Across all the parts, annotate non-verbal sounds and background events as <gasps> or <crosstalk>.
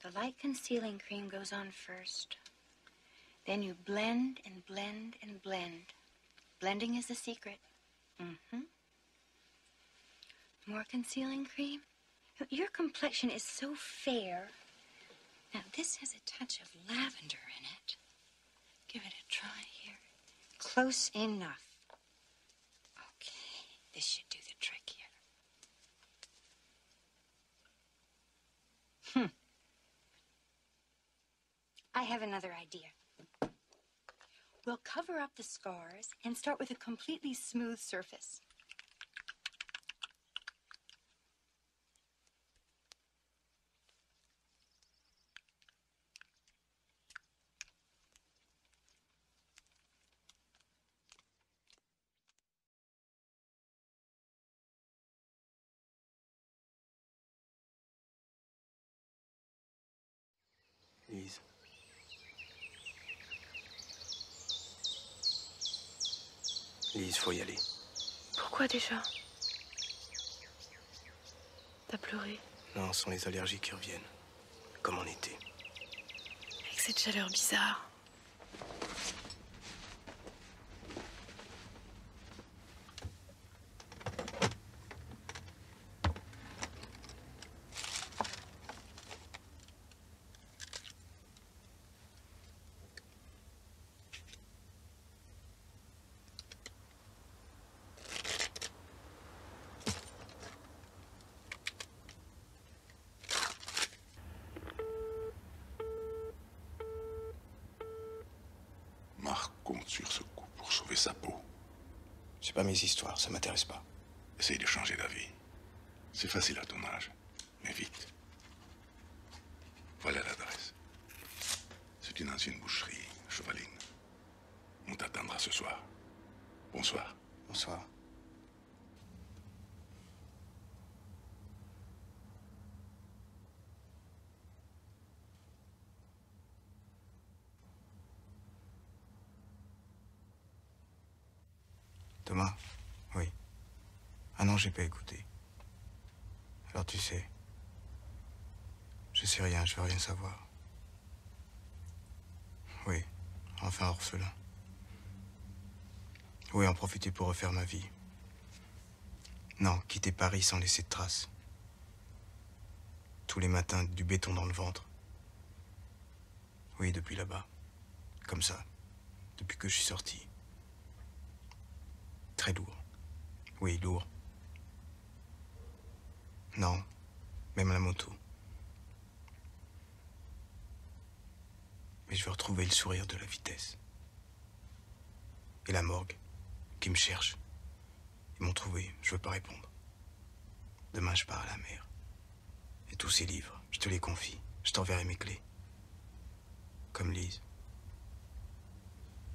The light concealing cream goes on first. Then you blend and blend and blend. Blending is a secret. Mm-hmm. More concealing cream? Your complexion is so fair. Now, this has a touch of lavender in it. Give it a try here. Close enough. Okay, this should do the trick here. Hmm. I have another idea. We'll cover up the scars and start with a completely smooth surface. Lise. Lise, faut y aller. Pourquoi déjà T'as pleuré Non, ce sont les allergies qui reviennent. Comme en était Avec cette chaleur bizarre. Marc compte sur ce coup pour sauver sa peau. C'est pas mes histoires, ça m'intéresse pas. Essaye de changer d'avis. C'est facile à ton âge, mais vite. Voilà l'adresse. C'est une ancienne boucherie, chevaline. On t'atteindra ce soir. Bonsoir. Bonsoir. Thomas Oui. Ah non, j'ai pas écouté. Alors tu sais. Je sais rien, je veux rien savoir. Oui, enfin orphelin. Oui, en profiter pour refaire ma vie. Non, quitter Paris sans laisser de traces. Tous les matins, du béton dans le ventre. Oui, depuis là-bas. Comme ça. Depuis que je suis sorti. Très lourd. Oui, lourd. Non, même la moto. Mais je veux retrouver le sourire de la vitesse. Et la morgue, qui me cherche. Ils m'ont trouvé, je veux pas répondre. Demain, je pars à la mer. Et tous ces livres, je te les confie. Je t'enverrai mes clés. Comme Lise.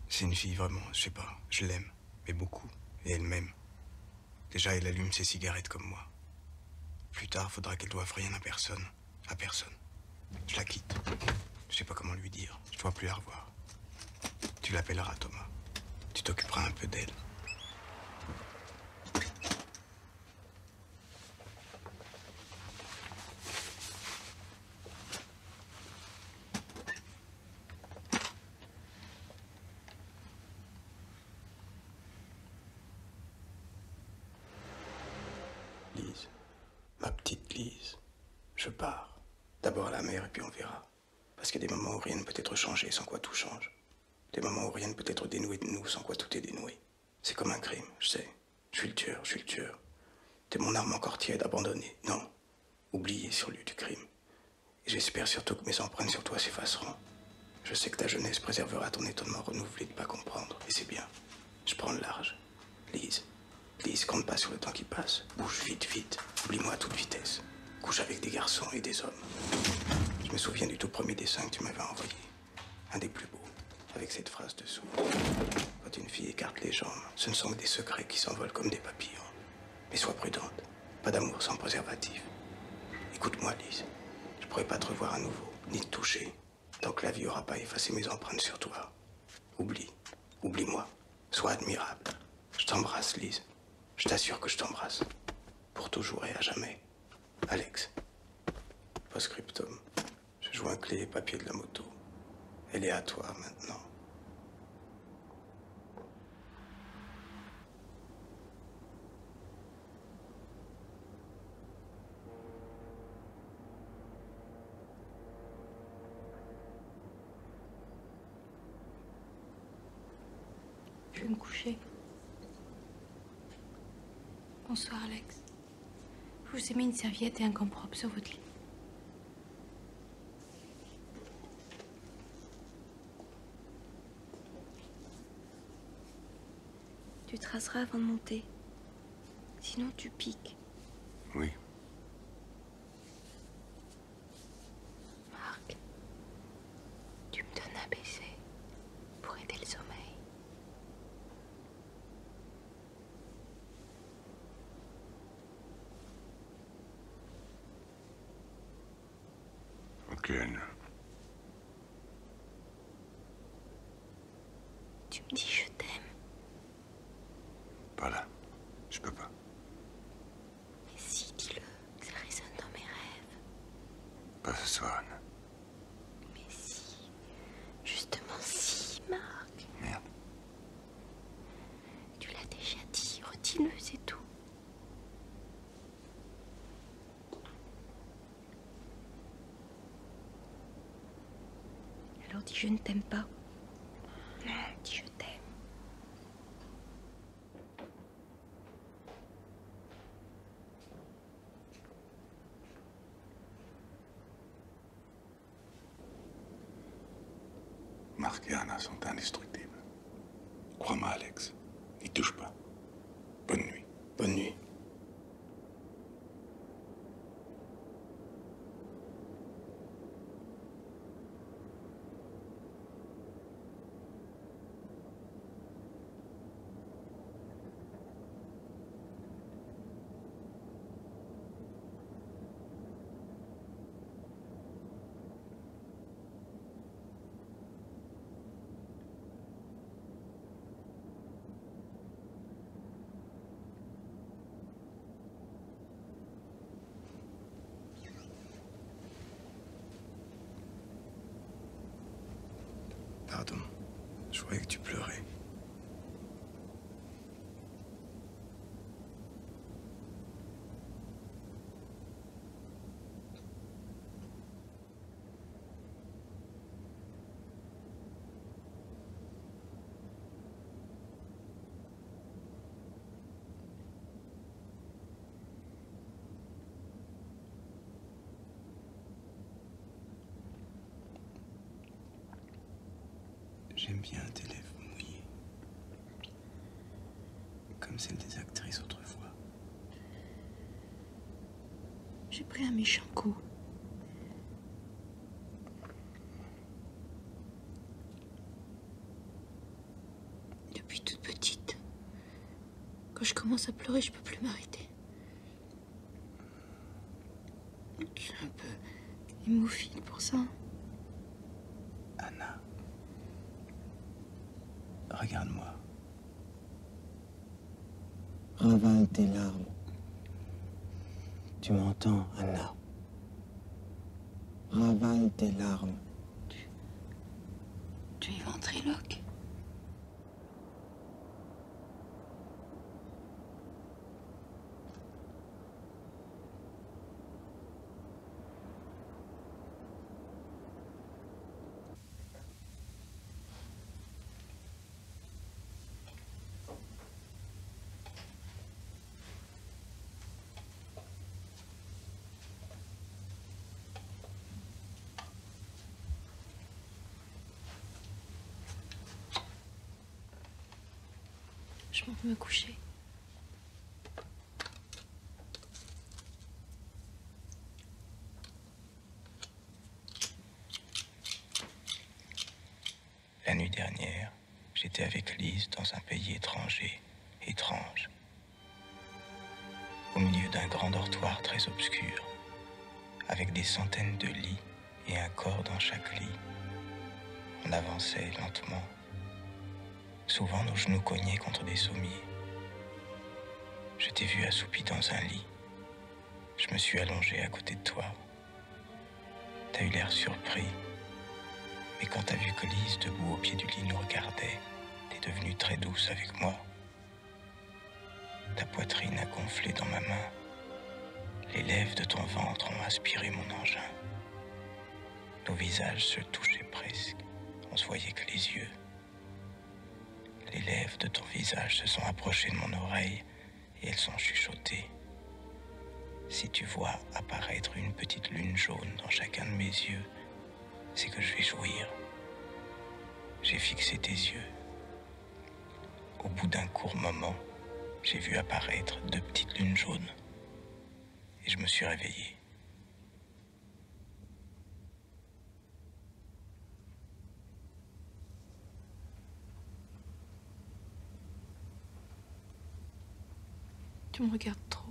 C'est une fille vraiment, je sais pas, je l'aime, mais beaucoup. Et elle m'aime. Déjà, elle allume ses cigarettes comme moi. Plus tard, faudra qu'elle doive rien à personne. À personne. Je la quitte. Je sais pas comment lui dire. Je dois plus la revoir. Tu l'appelleras, Thomas. Tu t'occuperas un peu d'elle. Lise, ma petite Lise, je pars. D'abord à la mer et puis on verra. Parce qu'il y a des moments où rien ne peut être changé, sans quoi tout change. Des moments où rien ne peut être dénoué de nous, sans quoi tout est dénoué. C'est comme un crime, je sais. Je suis le tueur, je suis le tueur. T'es mon arme encore tiède, abandonnée. Non, oublié sur lieu du crime. J'espère surtout que mes empreintes sur toi s'effaceront. Je sais que ta jeunesse préservera ton étonnement renouvelé de ne pas comprendre, et c'est bien. Je prends le large. Lise, Lise, compte pas sur le temps qui passe. Bouge vite, vite. Oublie-moi à toute vitesse. Couche avec des garçons et des hommes. Je me souviens du tout premier dessin que tu m'avais envoyé. Un des plus beaux, avec cette phrase dessous. Quand une fille écarte les jambes, ce ne sont que des secrets qui s'envolent comme des papillons. Mais sois prudente. Pas d'amour sans préservatif. Écoute-moi, Lise. Je pourrai pas te revoir à nouveau, ni te toucher, tant que la vie n'aura pas effacé mes empreintes sur toi. Oublie. Oublie-moi. Sois admirable. Je t'embrasse, Lise. Je t'assure que je t'embrasse. Pour toujours et à jamais. Alex. Postscriptum. Je joins clé et papier de la moto. Elle est à toi maintenant. Je vais me coucher. Bonsoir, Alex. Je vous ai mis une serviette et un gant propre sur votre lit. Tu traceras avant de monter. Sinon, tu piques. Oui. Marc, tu me donnes à baisser pour aider le sommeil. Aucune. Tu me dis je t'aime. Pas là. Je peux pas. Mais si, dis-le. Ça résonne dans mes rêves. Pas ce soir, Anne. Mais si. Justement si, Marc. Merde. Tu l'as déjà dit. Redis-le, c'est tout. Alors dis je ne t'aime pas. Non, euh, dis je t'aime. anna sont indestructibles. Crois-moi, Alex. N'y touche pas. Bonne nuit. Bonne nuit. Pardon, je croyais que tu pleurais. J'aime bien tes lèvres mouillées, comme celles des actrices autrefois. J'ai pris un méchant coup. Depuis toute petite, quand je commence à pleurer, je peux plus m'arrêter. Je suis un peu hémophile pour ça. Anna, regarde-moi. Ravale tes larmes. Tu m'entends, Anna Ravale tes larmes. Tu... Tu es ventriloque je vais me coucher. La nuit dernière, j'étais avec Lise dans un pays étranger, étrange, au milieu d'un grand dortoir très obscur, avec des centaines de lits et un corps dans chaque lit. On avançait lentement. Souvent nos genoux cognaient contre des sommiers. Je t'ai vu assoupi dans un lit. Je me suis allongé à côté de toi. T'as eu l'air surpris. Mais quand t'as vu que Lise, debout au pied du lit, nous regardait, t'es devenue très douce avec moi. Ta poitrine a gonflé dans ma main. Les lèvres de ton ventre ont aspiré mon engin. Nos visages se touchaient presque. On se voyait que les yeux. Les lèvres de ton visage se sont approchées de mon oreille et elles sont chuchotées. Si tu vois apparaître une petite lune jaune dans chacun de mes yeux, c'est que je vais jouir. J'ai fixé tes yeux. Au bout d'un court moment, j'ai vu apparaître deux petites lunes jaunes et je me suis réveillé. Tu me regardes trop.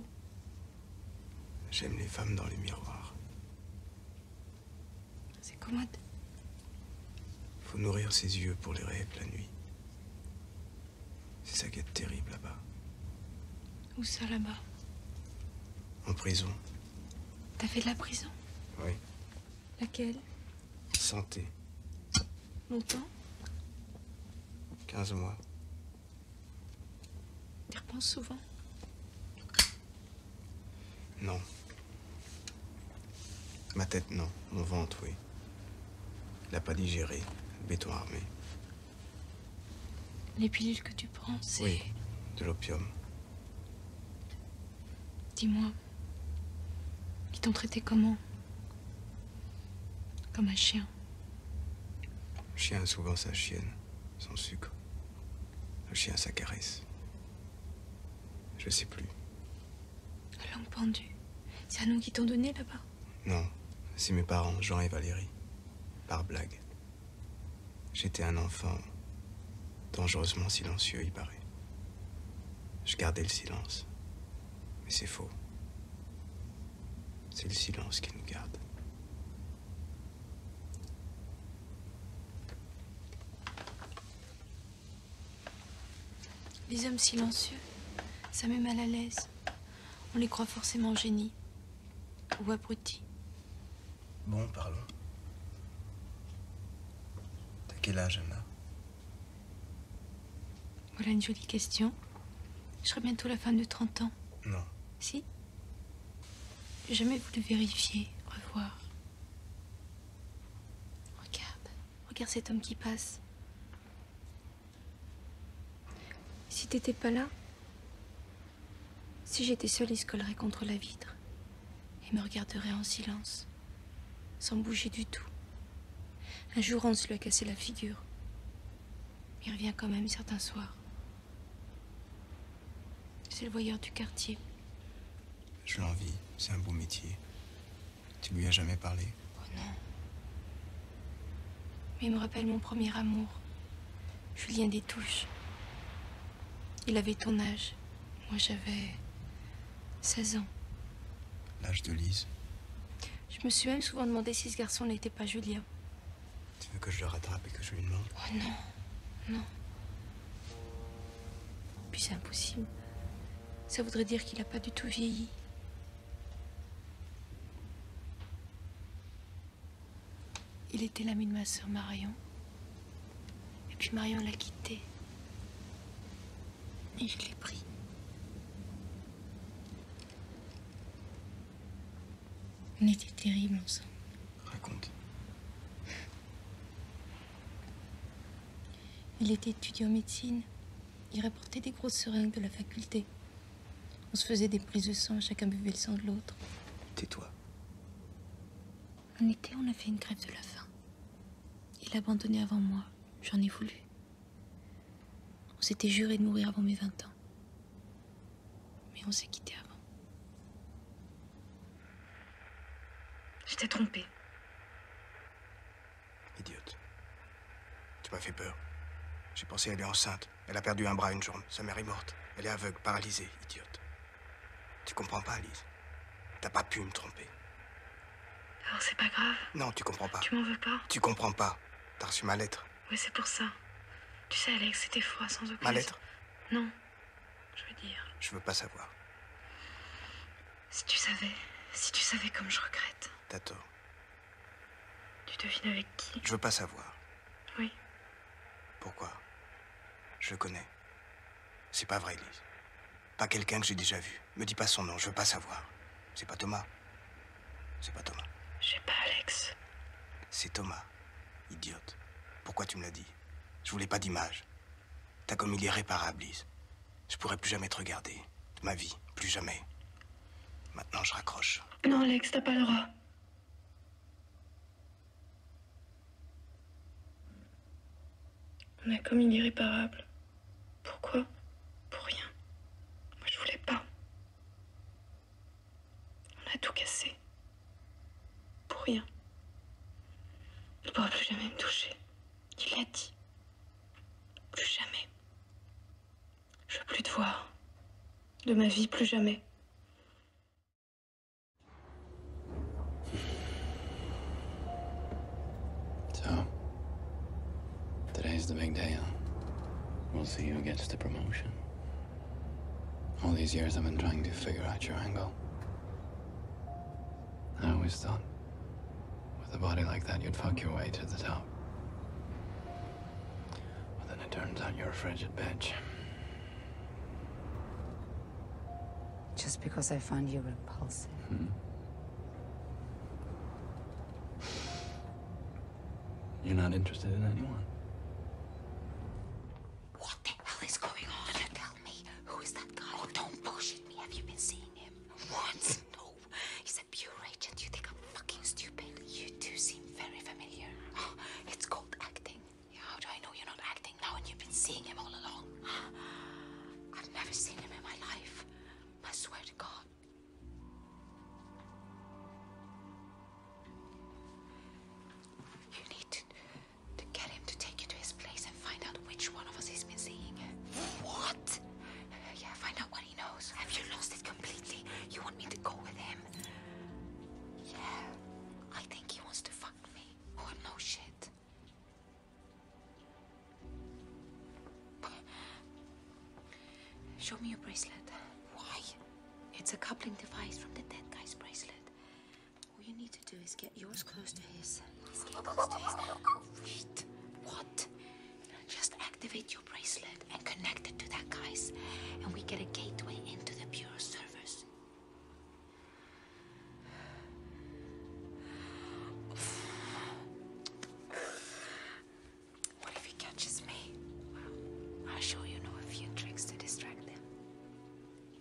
J'aime les femmes dans les miroirs. C'est commode. Faut nourrir ses yeux pour les rêves la nuit. C'est ça qui est terrible là-bas. Où ça là-bas En prison. T'as fait de la prison Oui. Laquelle Santé. Longtemps 15 mois. y repenses souvent Non. Ma tête, non. Mon ventre, oui. L'a pas digéré. Béton armé. Les pilules que tu prends, c'est... de l'opium. Dis-moi, ils t'ont traité comment Comme un chien. chien a souvent sa chienne, son sucre. Un chien sa caresse. Je sais plus. La langue pendue. C'est un nom qu'ils t'ont donné là-bas Non, c'est mes parents, Jean et Valérie. Par blague. J'étais un enfant dangereusement silencieux, il paraît. Je gardais le silence. Mais c'est faux. C'est le silence qui nous garde. Les hommes silencieux, ça met mal à l'aise. On les croit forcément génies ou abrutis. Bon, parlons. T'as quel âge, Anna Voilà une jolie question. Je serai bientôt la femme de 30 ans. Non. Si J'ai jamais voulu vérifier, revoir. Regarde, regarde cet homme qui passe. Si t'étais pas là, si j'étais seule, il se collerait contre la vitre et me regarderait en silence, sans bouger du tout. Un jour, on se lui a cassé la figure. Il revient quand même certains soirs. C'est le voyeur du quartier. Je l'envie, c'est un beau métier. Tu lui as jamais parlé Oh non. Mais il me rappelle mon premier amour, Julien touches, Il avait ton âge. Moi, j'avais 16 ans. L'âge de Lise Je me suis même souvent demandé si ce garçon n'était pas Julien. Tu veux que je le rattrape et que je lui demande Oh non, non. Puis c'est impossible. Ça voudrait dire qu'il n'a pas du tout vieilli. Il était l'ami de ma sœur Marion. Et puis Marion l'a quitté. Et je l'ai pris. On était terribles ensemble. Raconte. Il était étudiant en médecine. Il rapportait des grosses seringues de la faculté. On se faisait des prises de sang, chacun buvait le sang de l'autre. Tais-toi. En été, on a fait une grève de la faim. Il a abandonné avant moi. J'en ai voulu. On s'était juré de mourir avant mes 20 ans. Mais on s'est quitté avant. J'étais trompée. Idiote. Tu m'as fait peur. J'ai pensé qu'elle est enceinte. Elle a perdu un bras une journée. Sa mère est morte. Elle est aveugle, paralysée, idiote. Tu comprends pas, Alice. T'as pas pu me tromper. Alors c'est pas grave. Non, tu comprends pas. Tu m'en veux pas. Tu comprends pas. T'as reçu ma lettre. Oui, c'est pour ça. Tu sais, Alex, c'était froid sans aucune. Ma lettre Non. Je veux dire. Je veux pas savoir. Si tu savais, si tu savais comme je regrette. T'as Tu devines avec qui Je veux pas savoir. Oui. Pourquoi Je connais. C'est pas vrai, Lise. Pas quelqu'un que j'ai déjà vu. Me dis pas son nom, je veux pas savoir. C'est pas Thomas. C'est pas Thomas. J'ai pas, Alex. C'est Thomas. Idiote. Pourquoi tu me l'as dit Je voulais pas d'image. T'as est réparable, Lise. Je pourrais plus jamais te regarder. De ma vie, plus jamais. Maintenant, je raccroche. Non, Alex, t'as pas le droit. On a commis l'irréparable. Pourquoi Pour rien. Moi, je voulais pas. On a tout cassé. Pour rien. Il ne pourra plus jamais me toucher. Qui l'a dit. Plus jamais. Je veux plus te voir. De ma vie, plus jamais. So, today's the big day, We'll see who gets the promotion. All these years I've been trying to figure out your angle. I always thought, with a body like that, you'd fuck your way to the top. But then it turns out you're a frigid bitch. Just because I find you repulsive. Hmm. You're not interested in anyone. What the hell is going on? Can tell me, who is that guy? Oh, don't bullshit me. Have you been seeing him? Once? No. He's a pure agent. You think I'm fucking stupid? You two seem very familiar. <gasps> It's called acting. How do I know you're not acting now and you've been seeing him all along? <gasps> I've never seen him in my life. I swear to God. You need to, to get him to take you to his place and find out which one of us he's been seeing. What? Yeah, find out what he knows. Have you lost it completely? You want me to go with him? Yeah. I think he wants to fuck me. Or oh, no shit. Show me your bracelet. Why? It's a coupling device from the dead guy's bracelet. All you need to do is get yours close to his. close to his. What? Just activate your bracelet and connect it to that guy's, and we get a gateway into the Bureau servers. What if he catches me? I'm sure you know a few tricks to distract him.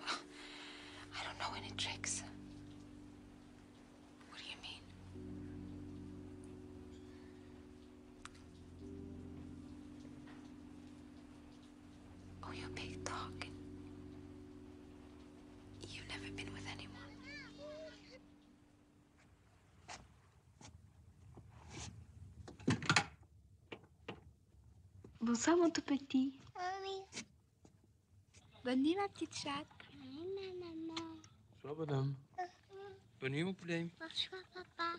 I don't know any tricks. What do you mean? Oh, you big never been with anyone. Bonsoir, mon tout petit. Bonne nuit, ma petite chatte. Bonsoir, madame. Bonne nuit, mon poulet. Bonsoir, papa.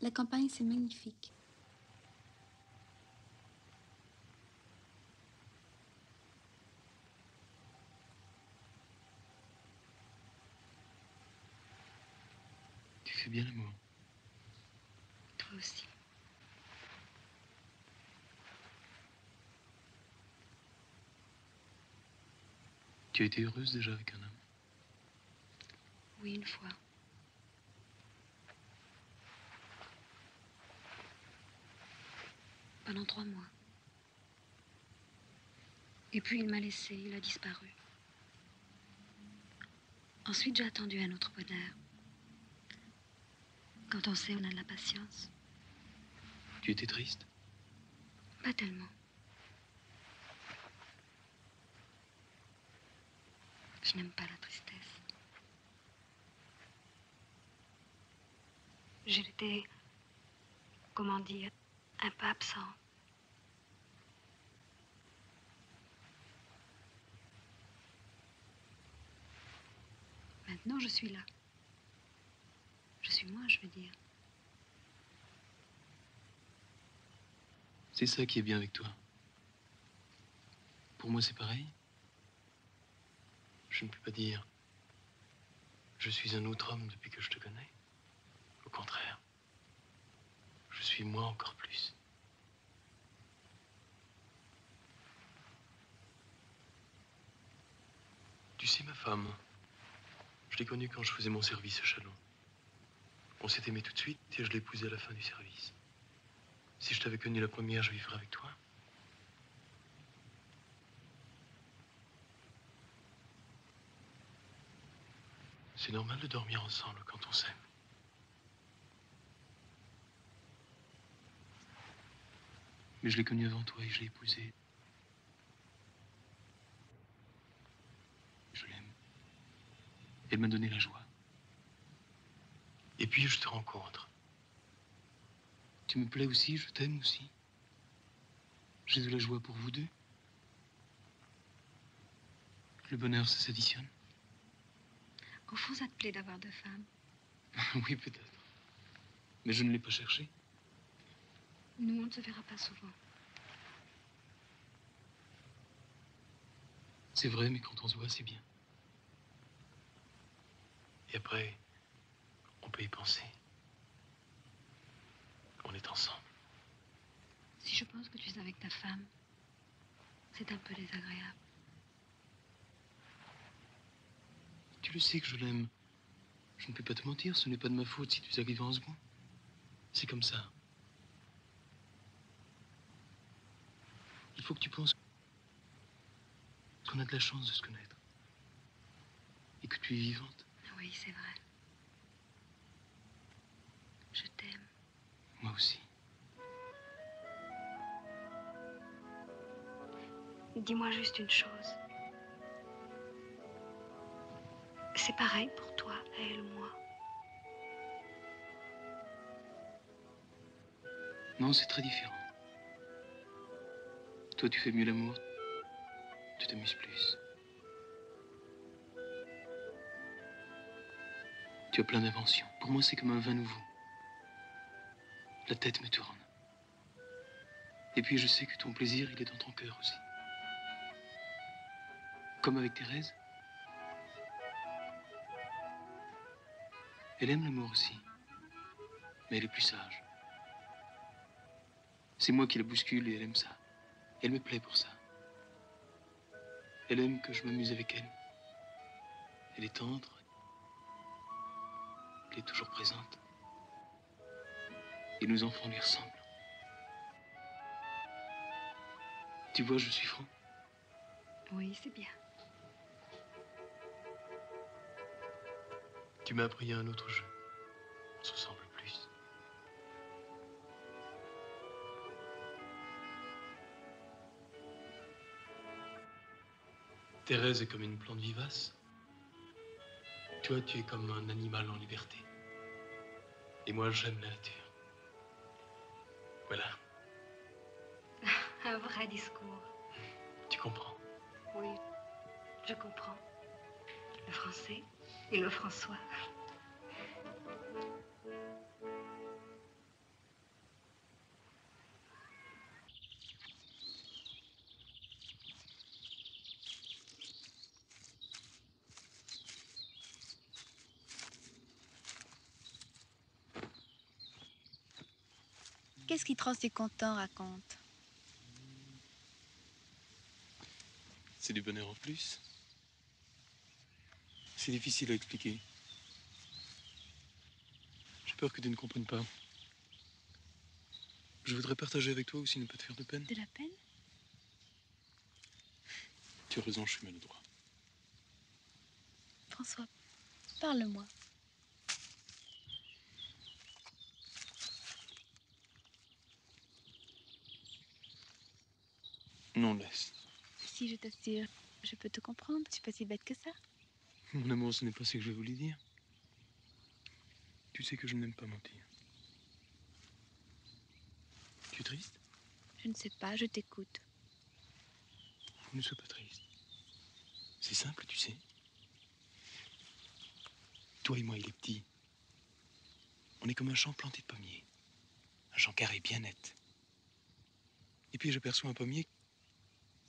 La campagne, c'est magnifique. Tu fais bien l'amour. Toi aussi. Tu as été heureuse déjà avec un homme Oui, une fois. Pendant trois mois. Et puis il m'a laissé, il a disparu. Ensuite, j'ai attendu un autre bonheur. Quand on sait, on a de la patience. Tu étais triste Pas tellement. Je n'aime pas la tristesse. J'étais. Comment dire un pas absent. Maintenant, je suis là. Je suis moi, je veux dire. C'est ça qui est bien avec toi. Pour moi, c'est pareil. Je ne peux pas dire. Je suis un autre homme depuis que je te connais. Au contraire, je suis moi encore plus. Tu sais, ma femme, je l'ai connue quand je faisais mon service à Chalon. On s'est aimé tout de suite et je l'ai épousée à la fin du service. Si je t'avais connue la première, je vivrais avec toi. C'est normal de dormir ensemble quand on s'aime. Mais je l'ai connue avant toi et je l'ai épousée. Je l'aime. Elle m'a donné la joie. Et puis je te rencontre. Tu me plais aussi, je t'aime aussi. J'ai de la joie pour vous deux. Le bonheur, ça s'additionne. Au fond, ça te plaît d'avoir deux femmes. <laughs> oui, peut-être. Mais je ne l'ai pas cherché. Nous, on ne se verra pas souvent. C'est vrai, mais quand on se voit, c'est bien. Et après, on peut y penser. On est ensemble. Si je pense que tu es avec ta femme, c'est un peu désagréable. Tu le sais que je l'aime. Je ne peux pas te mentir, ce n'est pas de ma faute si tu arrives en moment. C'est comme ça. Il faut que tu penses qu'on a de la chance de se connaître. Et que tu es vivante. Oui, c'est vrai. Je t'aime. Moi aussi. Dis-moi juste une chose. C'est pareil pour toi, elle moi. Non, c'est très différent. Toi, tu fais mieux l'amour. Tu t'amuses plus. Tu as plein d'inventions. Pour moi, c'est comme un vin nouveau. La tête me tourne. Et puis je sais que ton plaisir, il est dans ton cœur aussi. Comme avec Thérèse. Elle aime l'amour aussi. Mais elle est plus sage. C'est moi qui la bouscule et elle aime ça. Elle me plaît pour ça. Elle aime que je m'amuse avec elle. Elle est tendre. Elle est toujours présente. Et nos enfants lui ressemblent. Tu vois, je suis franc. Oui, c'est bien. Tu m'as appris à un autre jeu. On se ressemble plus. Thérèse est comme une plante vivace. Toi, tu es comme un animal en liberté. Et moi, j'aime la nature. Voilà. <laughs> Un vrai discours. Tu comprends Oui, je comprends. Le français et le François. Qu'est-ce qui trans et content raconte c'est du bonheur en plus. C'est difficile à expliquer. J'ai peur que tu ne comprennes pas. Je voudrais partager avec toi aussi ne pas te faire de peine. De la peine Tu as raison, je suis droit. François, parle-moi. Non, laisse. Si, je t'assure, je peux te comprendre. Tu suis pas si bête que ça. Mon amour, ce n'est pas ce que je voulais dire. Tu sais que je n'aime pas mentir. Tu es triste Je ne sais pas, je t'écoute. Ne sois pas triste. C'est simple, tu sais. Toi et moi, il est petit. On est comme un champ planté de pommiers, un champ carré bien net. Et puis j'aperçois un pommier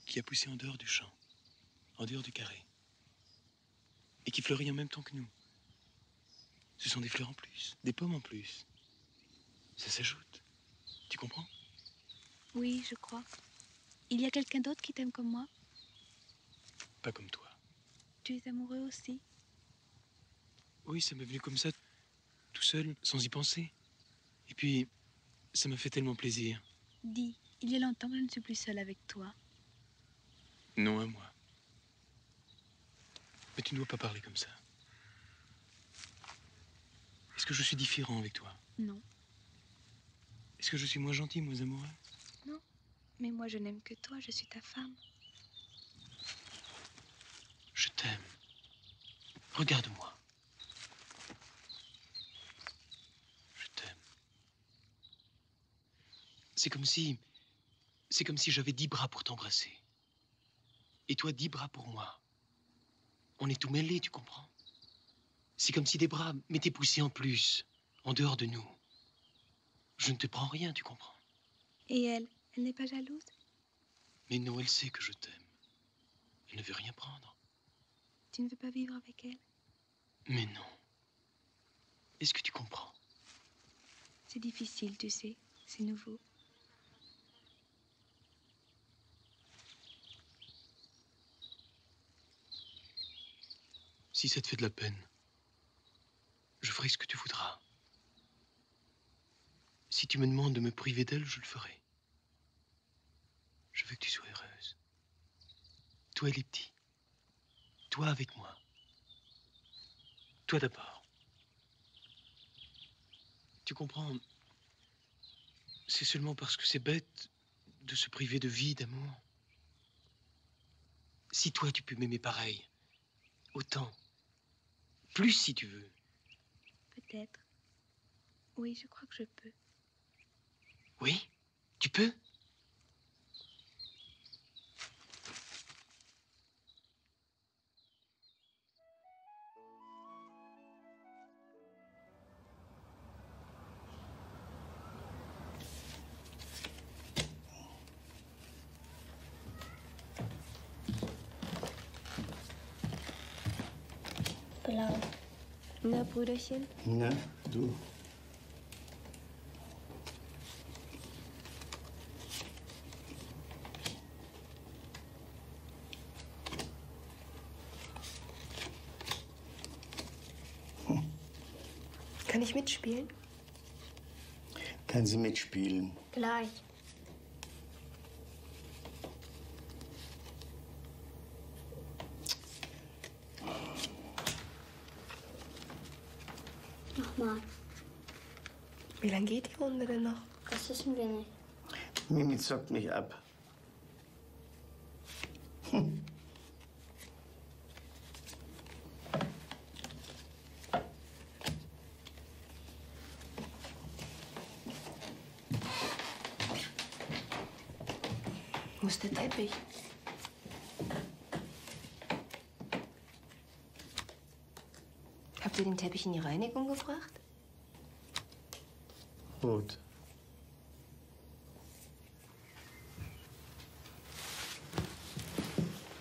qui a poussé en dehors du champ, en dehors du carré, et qui fleurit en même temps que nous. Ce sont des fleurs en plus, des pommes en plus. Ça s'ajoute. Tu comprends Oui, je crois. Il y a quelqu'un d'autre qui t'aime comme moi Pas comme toi. Tu es amoureux aussi oui, ça m'est venu comme ça, tout seul, sans y penser. Et puis, ça m'a fait tellement plaisir. Dis, il y a longtemps que je ne suis plus seule avec toi. Non, à moi. Mais tu ne dois pas parler comme ça. Est-ce que je suis différent avec toi Non. Est-ce que je suis moins gentil, moins amoureux Non mais moi je n'aime que toi, je suis ta femme. Je t'aime. Regarde-moi. Je t'aime. C'est comme si. C'est comme si j'avais dix bras pour t'embrasser. Et toi, dix bras pour moi. On est tout mêlés, tu comprends C'est comme si des bras m'étaient poussés en plus, en dehors de nous. Je ne te prends rien, tu comprends. Et elle, elle n'est pas jalouse Mais non, elle sait que je t'aime. Elle ne veut rien prendre. Tu ne veux pas vivre avec elle Mais non. Est-ce que tu comprends C'est difficile, tu sais. C'est nouveau. Si ça te fait de la peine, je ferai ce que tu voudras. Si tu me demandes de me priver d'elle, je le ferai. Je veux que tu sois heureuse. Toi et les petits. Toi avec moi. Toi d'abord. Tu comprends, c'est seulement parce que c'est bête de se priver de vie, d'amour. Si toi tu peux m'aimer pareil, Autant. Plus si tu veux. Peut-être. Oui, je crois que je peux. Oui Tu peux Blau. Na, Brüderchen? Na, du. Kann ich mitspielen? Kann sie mitspielen? Gleich. Nochmal. Wie lange geht die Runde denn noch? Das wissen wir nicht. Mimi zockt mich ab. Hm. Wo ist der Teppich? Habt ihr den Teppich in die Reinigung gebracht? Gut.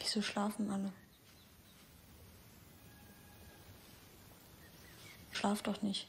Wieso schlafen alle? Schlaf doch nicht.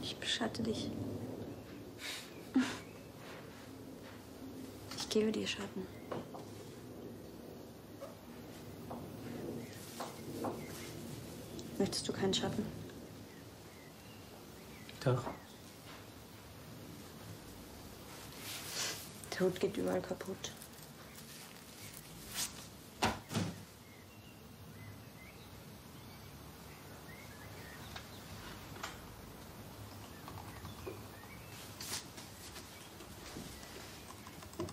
Ich beschatte dich. Ich gebe dir Schatten. Möchtest du keinen Schatten? Doch. Der Hut geht überall kaputt.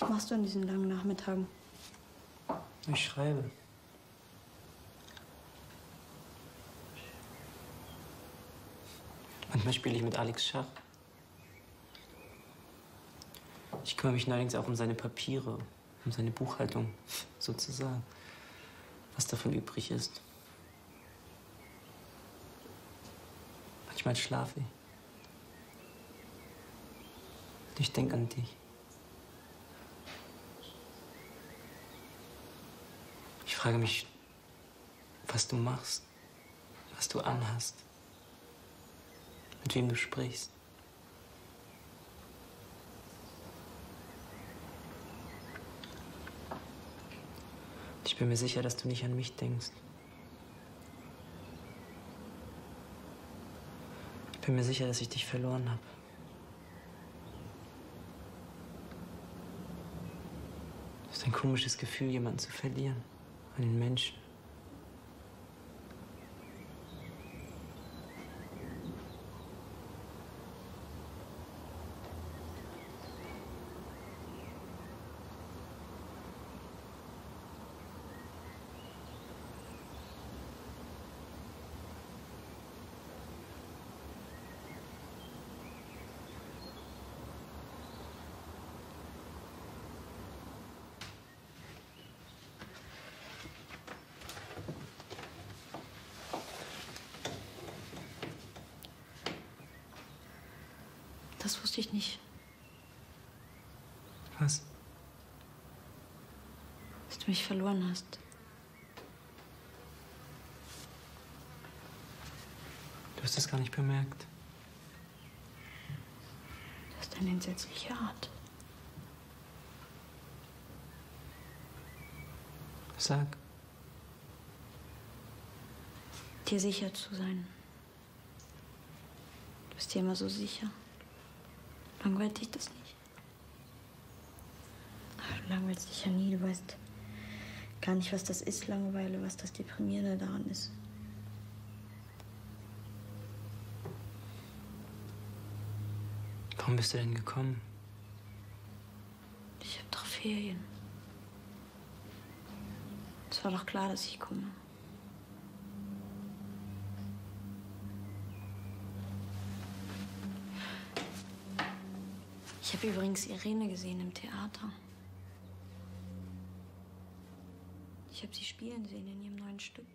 Was machst du an diesen langen Nachmittagen? Ich schreibe. Manchmal spiele ich mit Alex Schach. Ich kümmere mich neuerdings auch um seine Papiere, um seine Buchhaltung, sozusagen. Was davon übrig ist. Manchmal schlafe ich. Ich denke an dich. Ich frage mich, was du machst, was du anhast, mit wem du sprichst. Ich bin mir sicher, dass du nicht an mich denkst. Ich bin mir sicher, dass ich dich verloren habe. Es ist ein komisches Gefühl, jemanden zu verlieren, einen Menschen. Das wusste ich nicht. Was? Dass du mich verloren hast. Du hast es gar nicht bemerkt. Das ist eine entsetzliche Art. Sag. Dir sicher zu sein. Du bist dir immer so sicher. Langweilt dich das nicht? Ach, du langweilst dich ja nie, du weißt gar nicht, was das ist, Langeweile, was das Deprimierende daran ist. Warum bist du denn gekommen? Ich habe doch Ferien. Es war doch klar, dass ich komme. Ich habe übrigens Irene gesehen im Theater. Ich habe sie spielen sehen in ihrem neuen Stück.